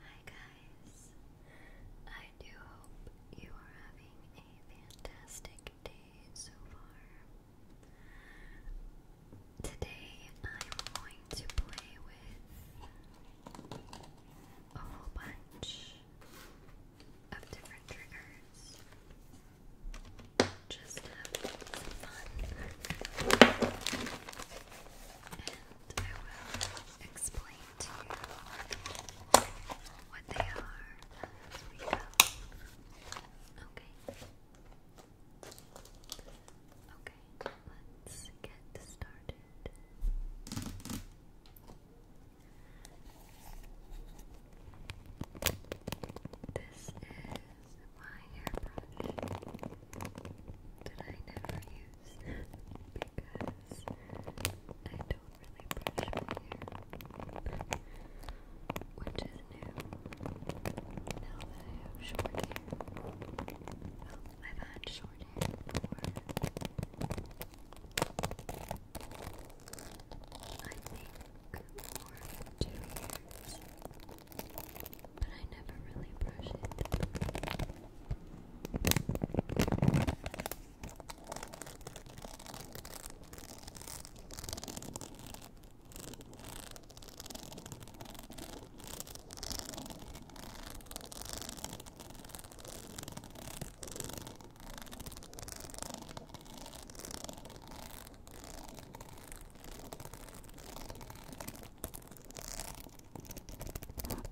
Hi guys! I do hope you are having a fantastic day so far. Today I'm going to play with a whole bunch of different triggers. Just have fun. I will explain to you what they are Okay. Okay, let's get started. This is my hairbrush that I never use because I don't really brush my hair, which is new now that I have short hair. I've had short hair before. I think for two years but I never really brush it. I've recently learned,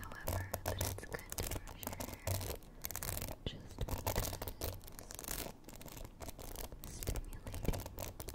however, that it's good to your hair just because stimulating your scalp is really good for you.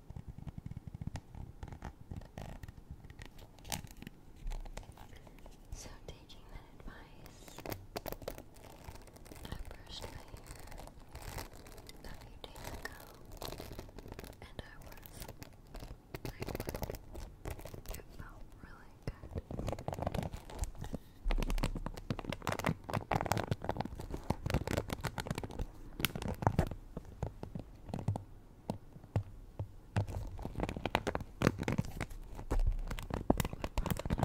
So, taking that advice, I brushed a few days ago, and I was like, it felt really good probably help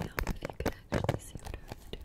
if you could actually see what I was doing, right?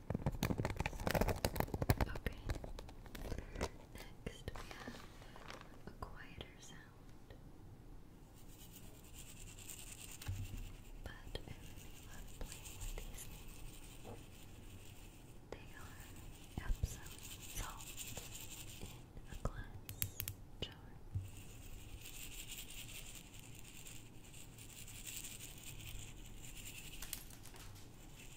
Okay. Next we have a quieter sound. But I love playing with these things. They are Epsom salt in a glass jar.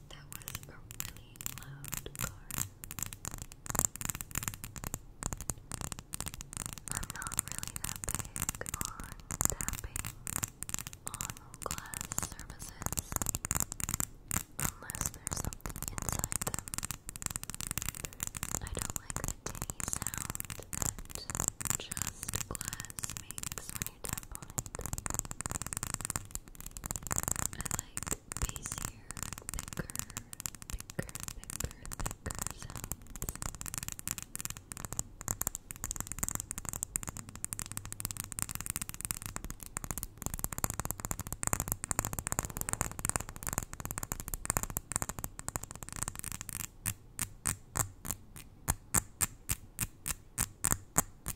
That was a really loud car. I'm not really that big on tapping on glass surfaces unless there's something inside them. I don't like the sound that just glass makes when you I like bassier, thicker, thicker, thicker, thicker sounds.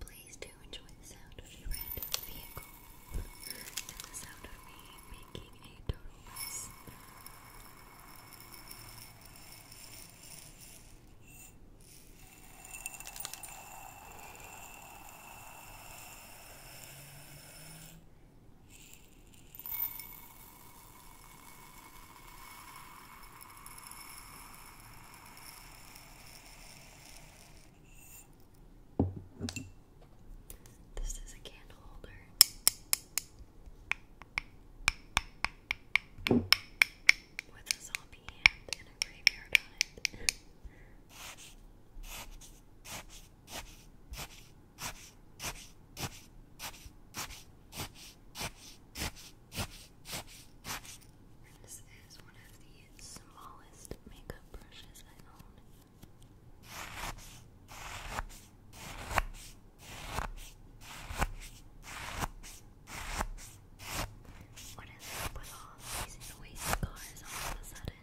Please do enjoy the sound of the vehicle and the sound of me making a total this is a candle holder with a zombie hand and a graveyard on This is one of the smallest makeup brushes I own. What is up with all these noisy cars all of a sudden?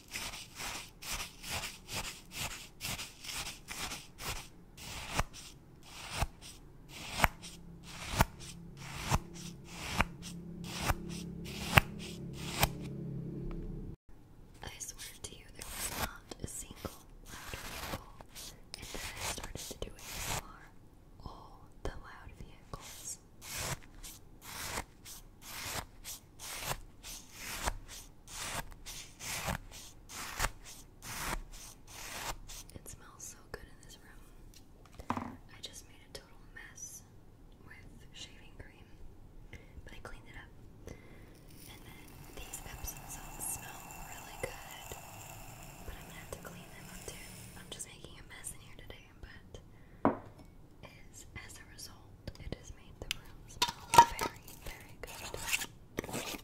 I swear to you, there was not a single loud vehicle, and then I started to do it for all the loud vehicles. It smells so good in this room. I just made a total mess with shaving cream, but I cleaned it up. And then these Epsom smell really good, but I'm gonna have to clean them up too. I'm just making a mess in here today, but is as a result salt. It has made the room very, very good.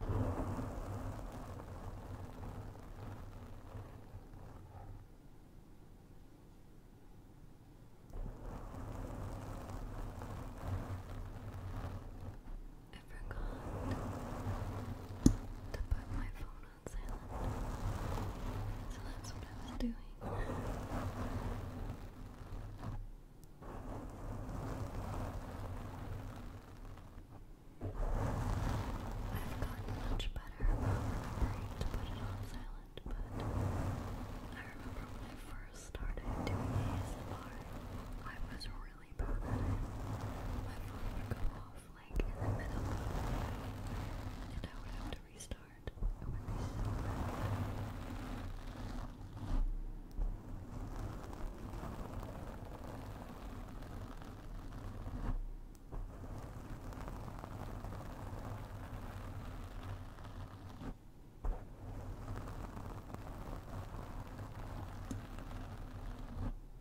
I forgot to put my phone on So that's what I was doing. I've gotten much better about remembering to put it on silent, but I remember when I first started doing ASMR, I was really bad My phone would go off like in the middle, and I would have to restart. It would be so bad. I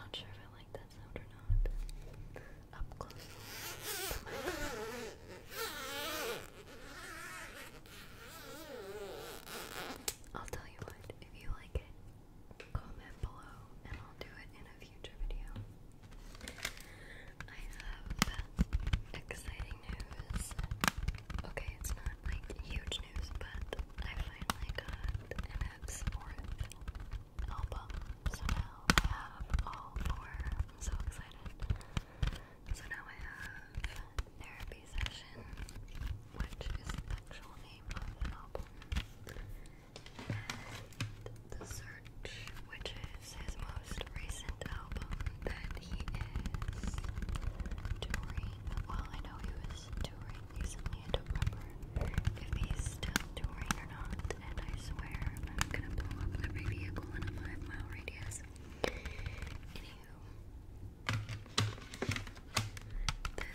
I really like that sound. I'm not sure if I like that sound or not. Up close. I'll tell you what, if you like it, comment below and I'll do it in a future video. I have exciting news. Okay, it's not like huge news, but I finally got an Epps fourth album. So I have all four. I'm so excited. So now I have Therapy Session, which is the actual name of the album, The Search, which is his most recent album that he is touring. Well, I know he was touring recently, I don't if he's still touring or not, and I swear I'm gonna blow up every vehicle in a five mile radius this. Anywho,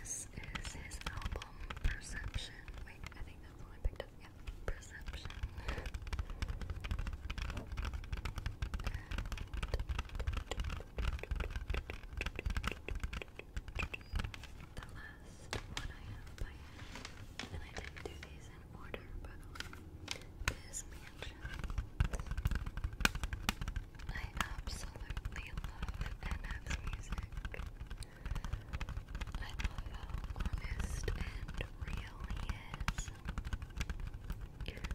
this is his album Perception. Wait, I think that's the one I picked up. Yeah, Perception. the last one I have and I didn't do these order, by the way. I absolutely love NF's music. I love how honest and real he is.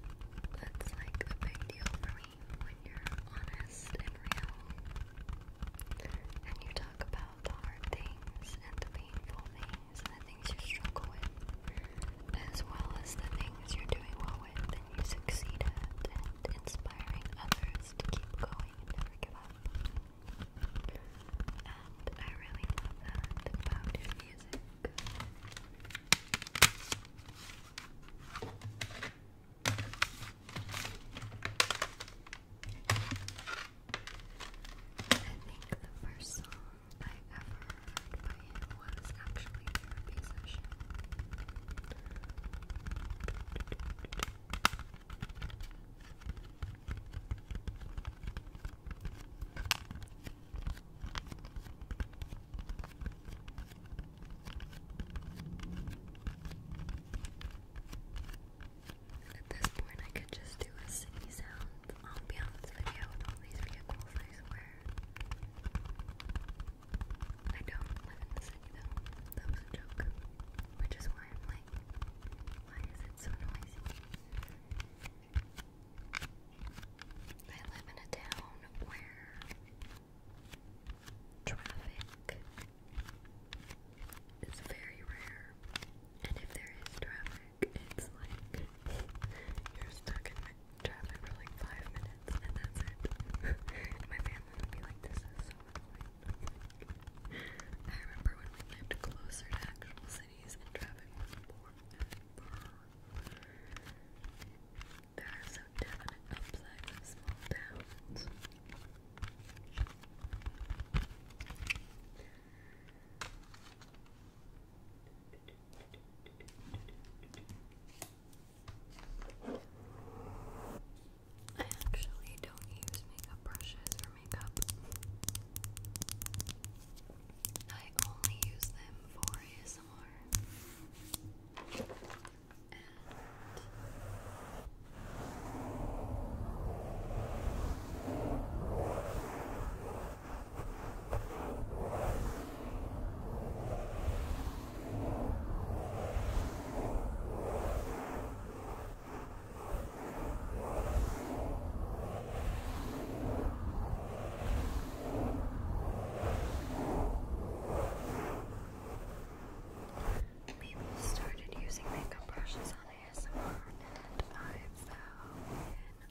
That's like a big deal for me when you're honest and real. And you talk about the hard things and the painful things things the things you struggle with, as well as the things you're doing well with and you succeed at, inspiring others to keep going and never give up. And I really love that about your music. I think the first song I ever heard by actually a therapy At this point, I could just do a city sound the ambiance video with all these vehicles, I swear. I don't live in the city That was a joke. Which is why I'm like, why is it so noisy? I live in a town where traffic is very rare. And if there is traffic, work. It's like you're stuck in traffic for like five minutes and that's it. my family would be like, this is I remember when we lived closer to actual cities and traffic was more There are some definite upsides of small towns. I actually don't use makeup brushes or makeup. I only use them for and people started using makeup brushes on ASMR, and I fell in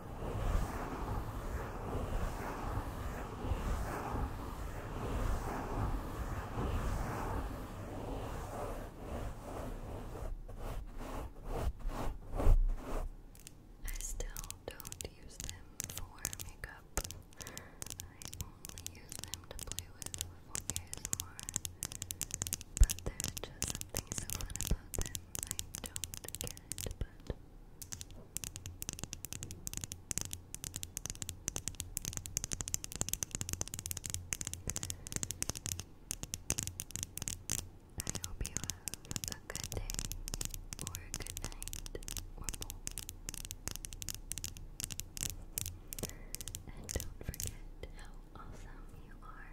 I still don't use them for makeup. I only use them to play with for ASMR. But there's just something about them. I don't get but I hope you have a good day, or a good night, or both. And don't forget how awesome you are.